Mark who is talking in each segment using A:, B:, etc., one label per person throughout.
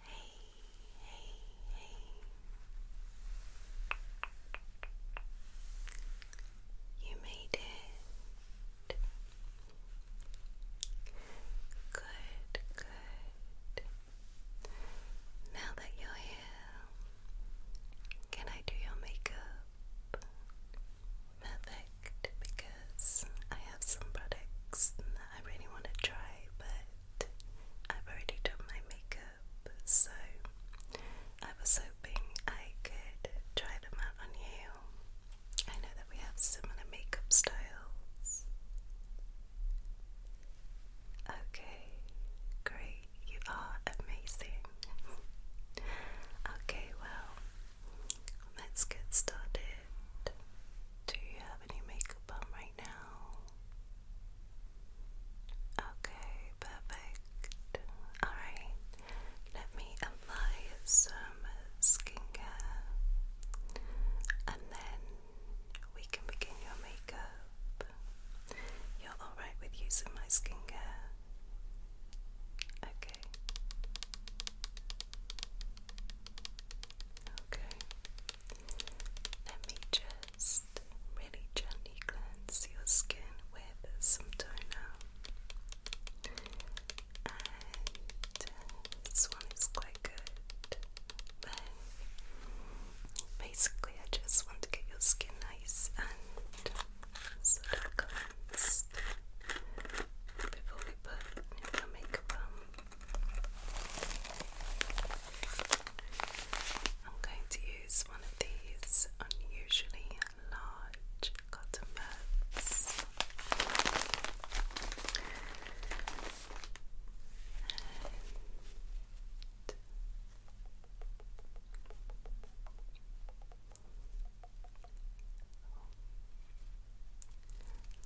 A: Hey, hey, hey. You made it. Good, good. Now that you're here, can I do your makeup? Perfect, because I have some products I really want to try, but I've already done my makeup, so I was hoping I could try them out on you. I know that we have similar makeup styles. Okay, great. You are amazing. okay, well, let's get started. Do you have any makeup on right right Okay, perfect. Alright, let me apply some skincare and then we can begin your makeup. You're alright with using my skincare? Okay. Okay. Let me just really gently cleanse your skin with some toner. And this one is quite good. basically, I just want to get your skin nice and sort of cleansed before we put your makeup on. I'm going to use one of these unusually large cotton buds.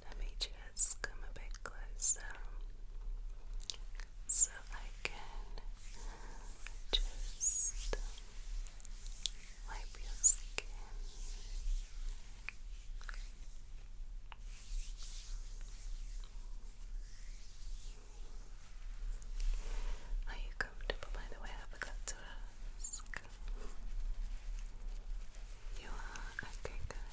A: let me Let's come a bit closer so I can just wipe your skin. Are you comfortable, by the way? I forgot to ask. You are? Okay, good.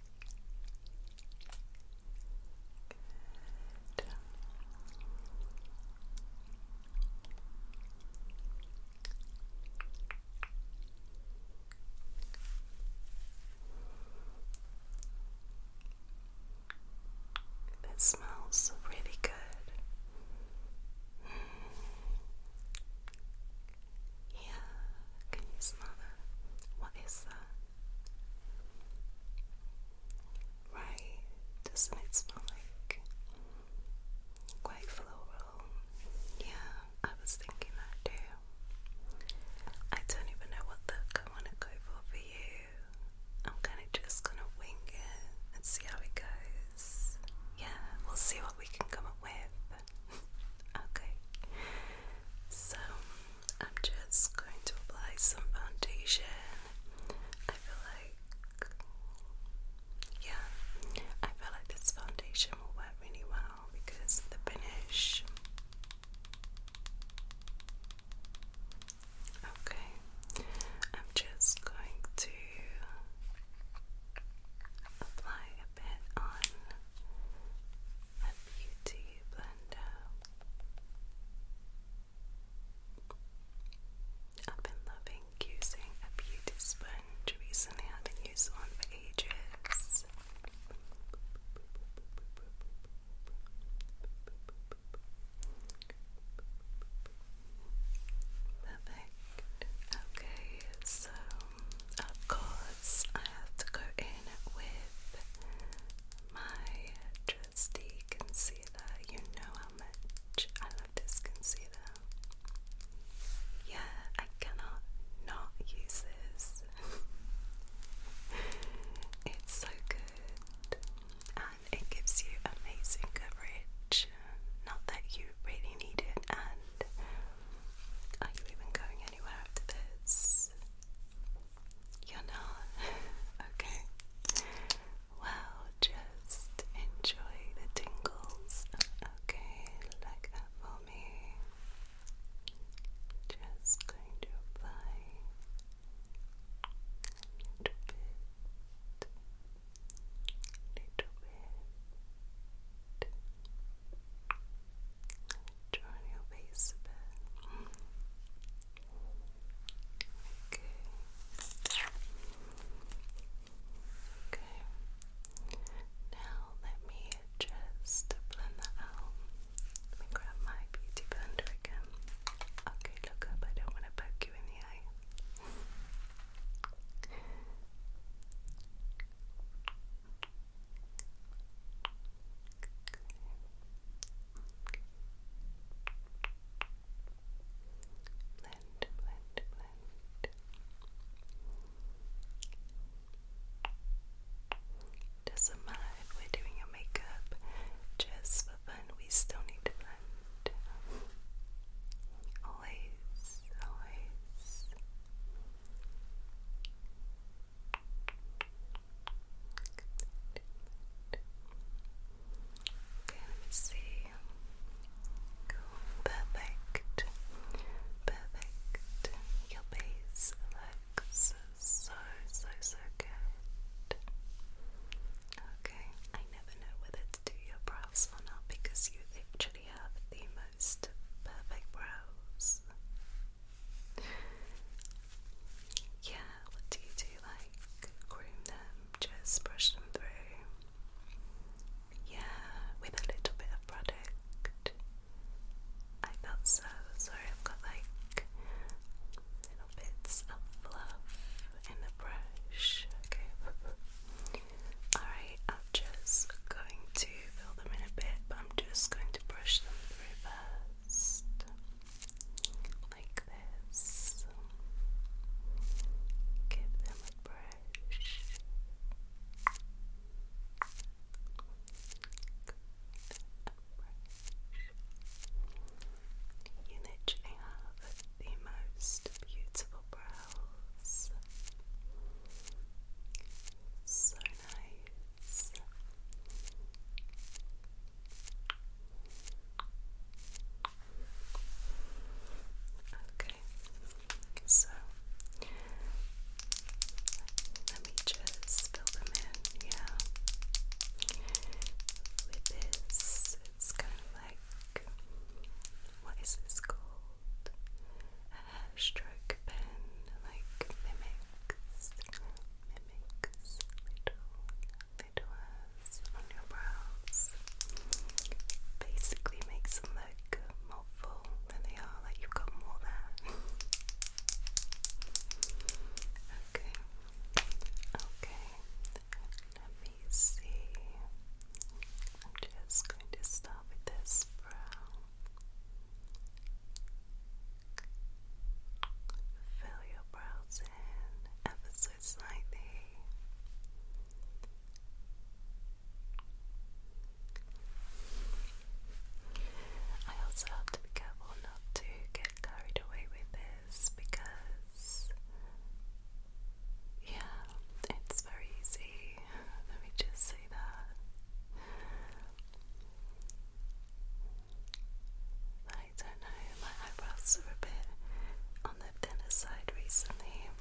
A: Good. That smells really good. Mm. Yeah, can you smell that? What is that? Right, doesn't it smell like quite floral? Yeah, I was thinking that too. I don't even know what look I want to go for for you. I'm kind of just gonna wing it and see how it goes. Yeah, we'll see what we can come up with. okay, so I'm just going to apply some foundation. I feel like, yeah, I feel like this foundation will work really well because the finish. Okay, I'm just going to apply a bit on a beauty blender. I've been loving using a beauty sponge recently. I haven't used one for ages. Perfect. Okay, so of course, I have to go in with my trusty concealer. You know how much I love this concealer. Yeah, I cannot not use this. it's so good and it gives you amazing coverage. Not that you really need it, and are you even going anywhere after this? You're not? okay. Well, just enjoy the tingles. Okay, like that for me. Just going to apply a little bit, little bit, Turn your face a bit. Okay. Okay. Now let me just blend that out. Let me grab my beauty blender again. Okay, look up. I don't want to poke you in the eye blend, blend, blend. does we're doing your makeup just for fun, we still need to blend. Always, always. Okay, let me see. Cool. Perfect. Perfect. Your base looks so, so, so good. Okay, I never know whether to do your brows or not because you literally have the most perfect brows. Yeah, do you do? Like groom them, just brush them through. Yeah, with a little bit of product. I thought so. Sorry, I've got like little bits of fluff in the brush. Okay. Alright, I'm just going to fill them in a bit, I'm just going to brush them through first, like this. Give them a brush. You literally have the most beautiful brows. So nice. Okay, so let me just fill them in, yeah. With this, it's kind of like what is this called? stroke pen like mimics, mimics little, little hairs on your brows. Basically makes them look more full than they are, like you've got more there. okay, okay, let me see. I'm just going to start with this brow. Fill your brows in ever so slightly. I also have to be careful not to get carried away with this because, yeah, it's very easy. Let me just say that. I don't know, my eyebrows are a bit on the thinner side recently.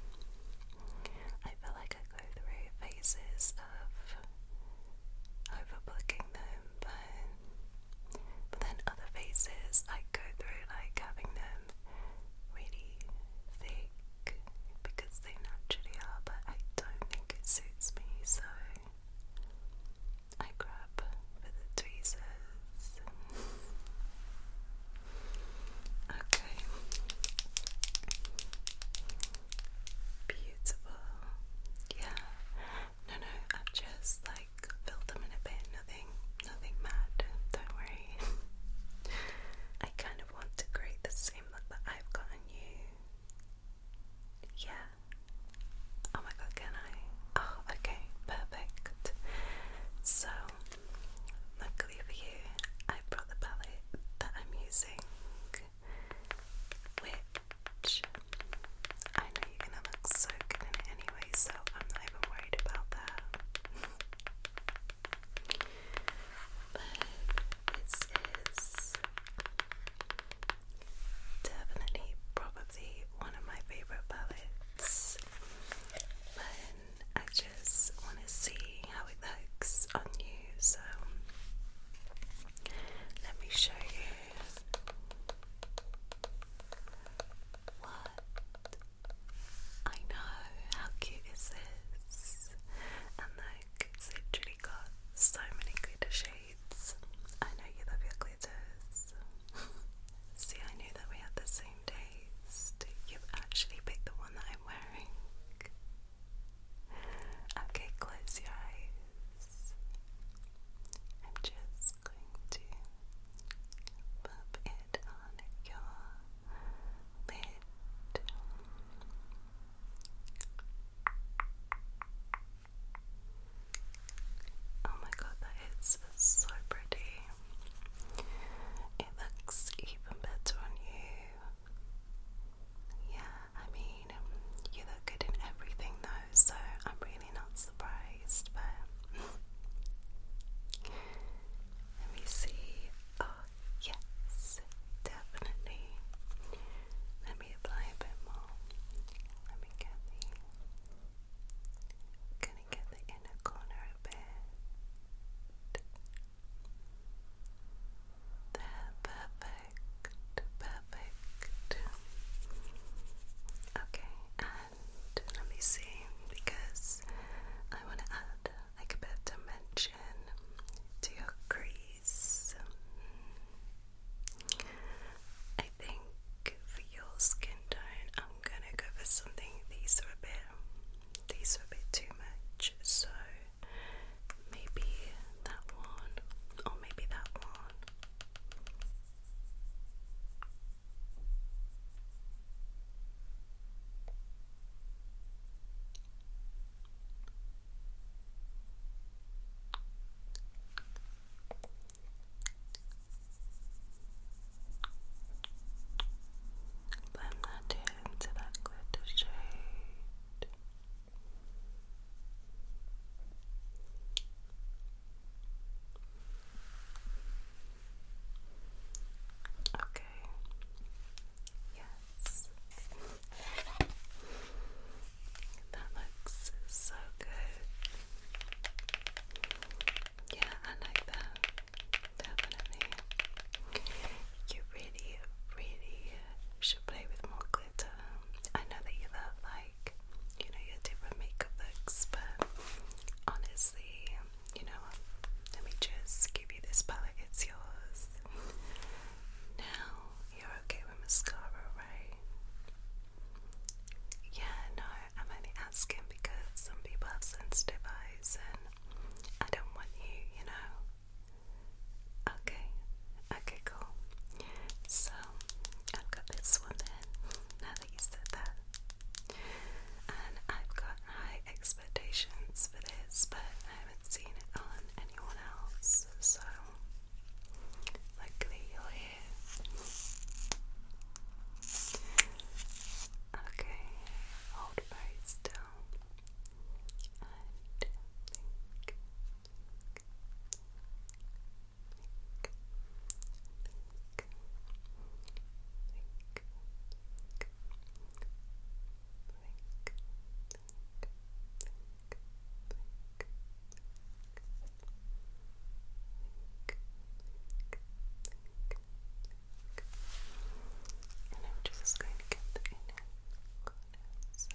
A: I feel like I go through phases of overbooking them, but, but then other phases I go through like having them really thick because they naturally are, but I don't think it suits me, so I grab for the tweezers. okay. Beautiful. Yeah. No, no, I've just like filled them in a bit. Nothing, nothing mad. Don't worry. I kind of want to create the same look that I've got on you. Yeah. Oh my god, can I? Oh, okay, perfect. So, luckily for you, I brought the palette that I'm using, which I know you're gonna look so good in it anyway, so I'm not even worried about that. this is Definitely, probably one of my favorite palettes. But I just want to see how it looks on you, so let me show you what I know. How cute is And like, literally got so many glitter shades. I know you love your glitters. See, I knew that we had the same taste. You've actually picked the one that I'm wearing. Okay, close your eyes. I'm just going to pop it on your lid. Oh my god, that is so pretty. It looks even better on you. Yeah, I mean, you look good in everything though, so I'm really not surprised, but. Let me see. Oh, yes, definitely. Let me apply a bit more. Let me get the. i gonna get the inner corner a bit. There, perfect, perfect. Okay, and let me see because I want to add like a bit of dimension to your crease face. I think for your skin tone, I'm gonna go for something. These are a bit, these are a bit too much. So maybe that one, or maybe that one. Blend that into that glitter shade. Okay. Yes. That looks so good. Yeah, I like that. Definitely. You really, really should play with more glitter. I know that you love, like, you know, your different makeup looks, but honestly, you know, let me just give you this palette, it's yours. Now, you're okay with mascara, right? Yeah, no, I'm only asking because some people have sensitive eyes and I don't want you, you know. Okay, okay, cool. So, I've got this one then, now that you said that. And I've got high expectations for this, but I haven't seen it on anyone else this, so luckily you're here. Okay, hold very still and I'm just going to get the inner corners,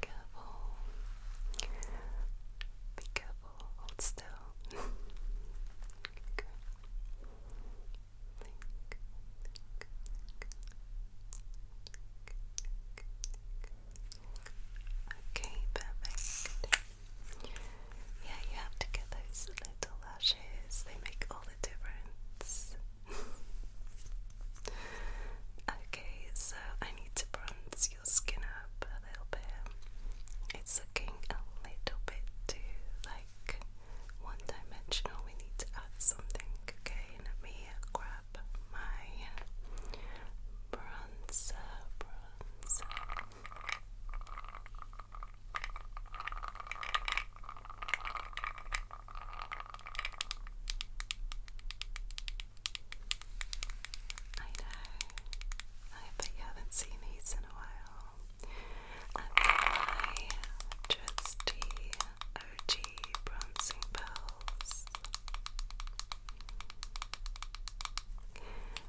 A: Careful. Be careful. Hold still. Okay, perfect. Yeah, you have to get those little lashes, they make all the difference. okay, so I need to bronze your skin up a little bit. It's looking a little bit too light one dimensional, we need to add something. Okay, let me grab my bronzer. I know. I bet you haven't seen these in a while. And my trusty OG bronzing pearls.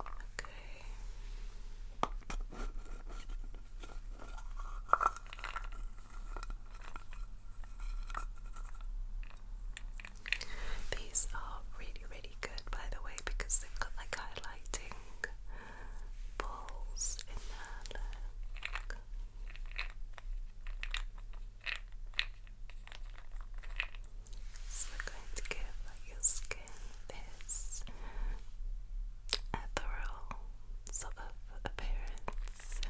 A: Okay. These are really, really good, by the way, because they've got like highlighting balls in there. So we're going to give your skin this ethereal sort of appearance.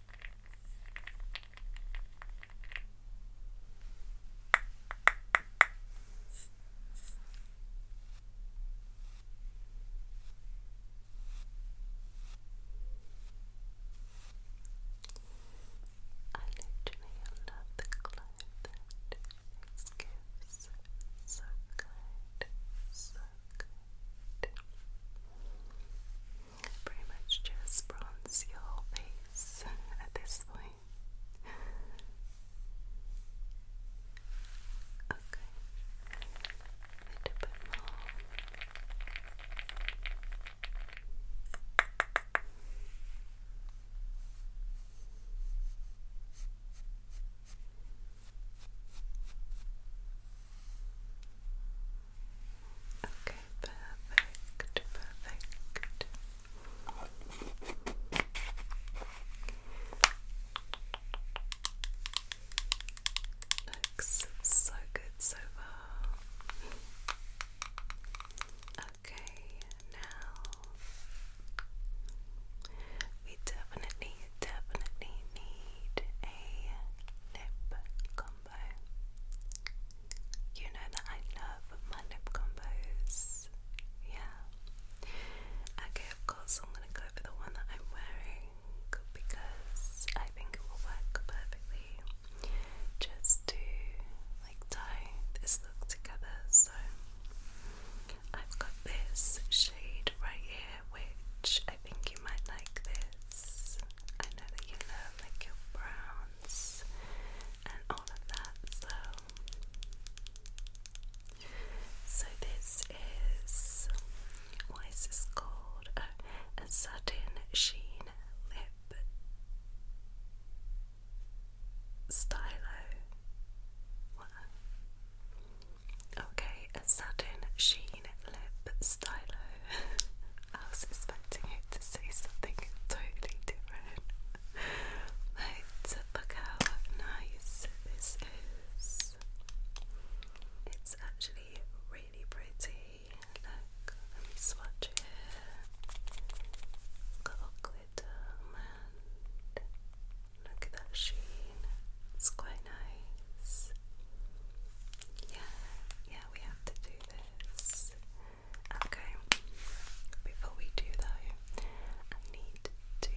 A: I literally love the glow that it gives. So kind, so Pretty much just bronze your face at this point. Okay. Okay, perfect, perfect. so good so far. Okay, now we definitely, definitely need a lip combo. You know that I love my lip combos. Yeah. Okay, of course, I'm gonna go for the one that I'm wearing because I think it will work perfectly just to like tie this look together. So I've got this shade right here which I think you might like this. I know that you love like your browns and all of that, so so this is what is this called? Uh, a satin sheen lip stylo. Okay, a satin sheen lip stylo. I was expecting it to say something totally different. But look nice this is. It's actually really pretty. Look, swatch it. Got glitter, and look at that sheen. It's quite nice. Yeah, yeah, we have to do this. Okay, before we do though, I need to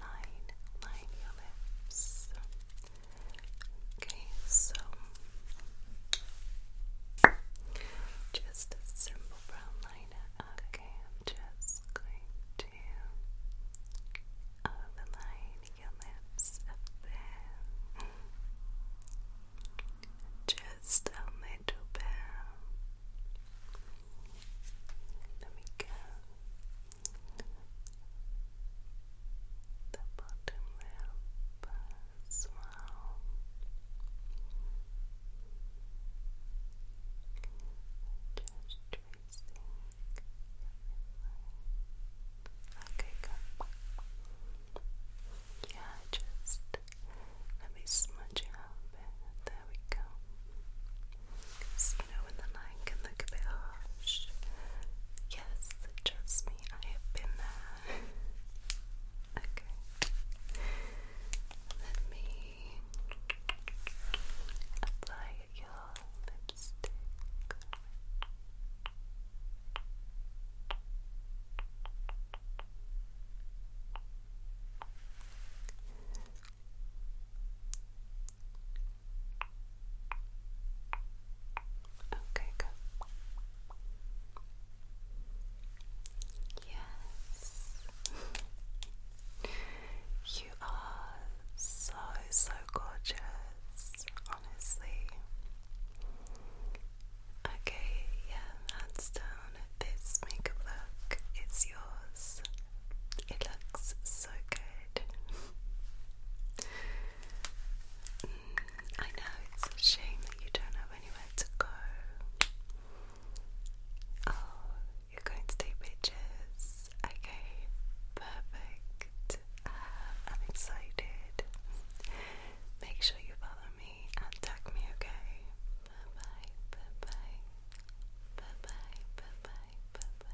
A: line, line your lips. Okay, so just a simple brown liner. Okay, I'm just going to overline your lips up there. Just a little bit. There we go. The bottom lip as well. Just tracing Okay, good. Yeah, just let me smudge it up. There we go. you know, when the line can look a bit harsh. Yes, trust me, I have been there. okay. Let me apply your Okay, good. Yes. you are so, so gorgeous this, honestly. Okay, yeah, hands down, this makeup look is yours. It looks so good. Mm, I know it's a shame that you don't have anywhere to go. Oh, you're going to take pictures. Okay, perfect. Um, I'm excited. Make sure you follow me and tag me, okay? bye, bye bye. Bye bye, bye bye, bye bye. Bye.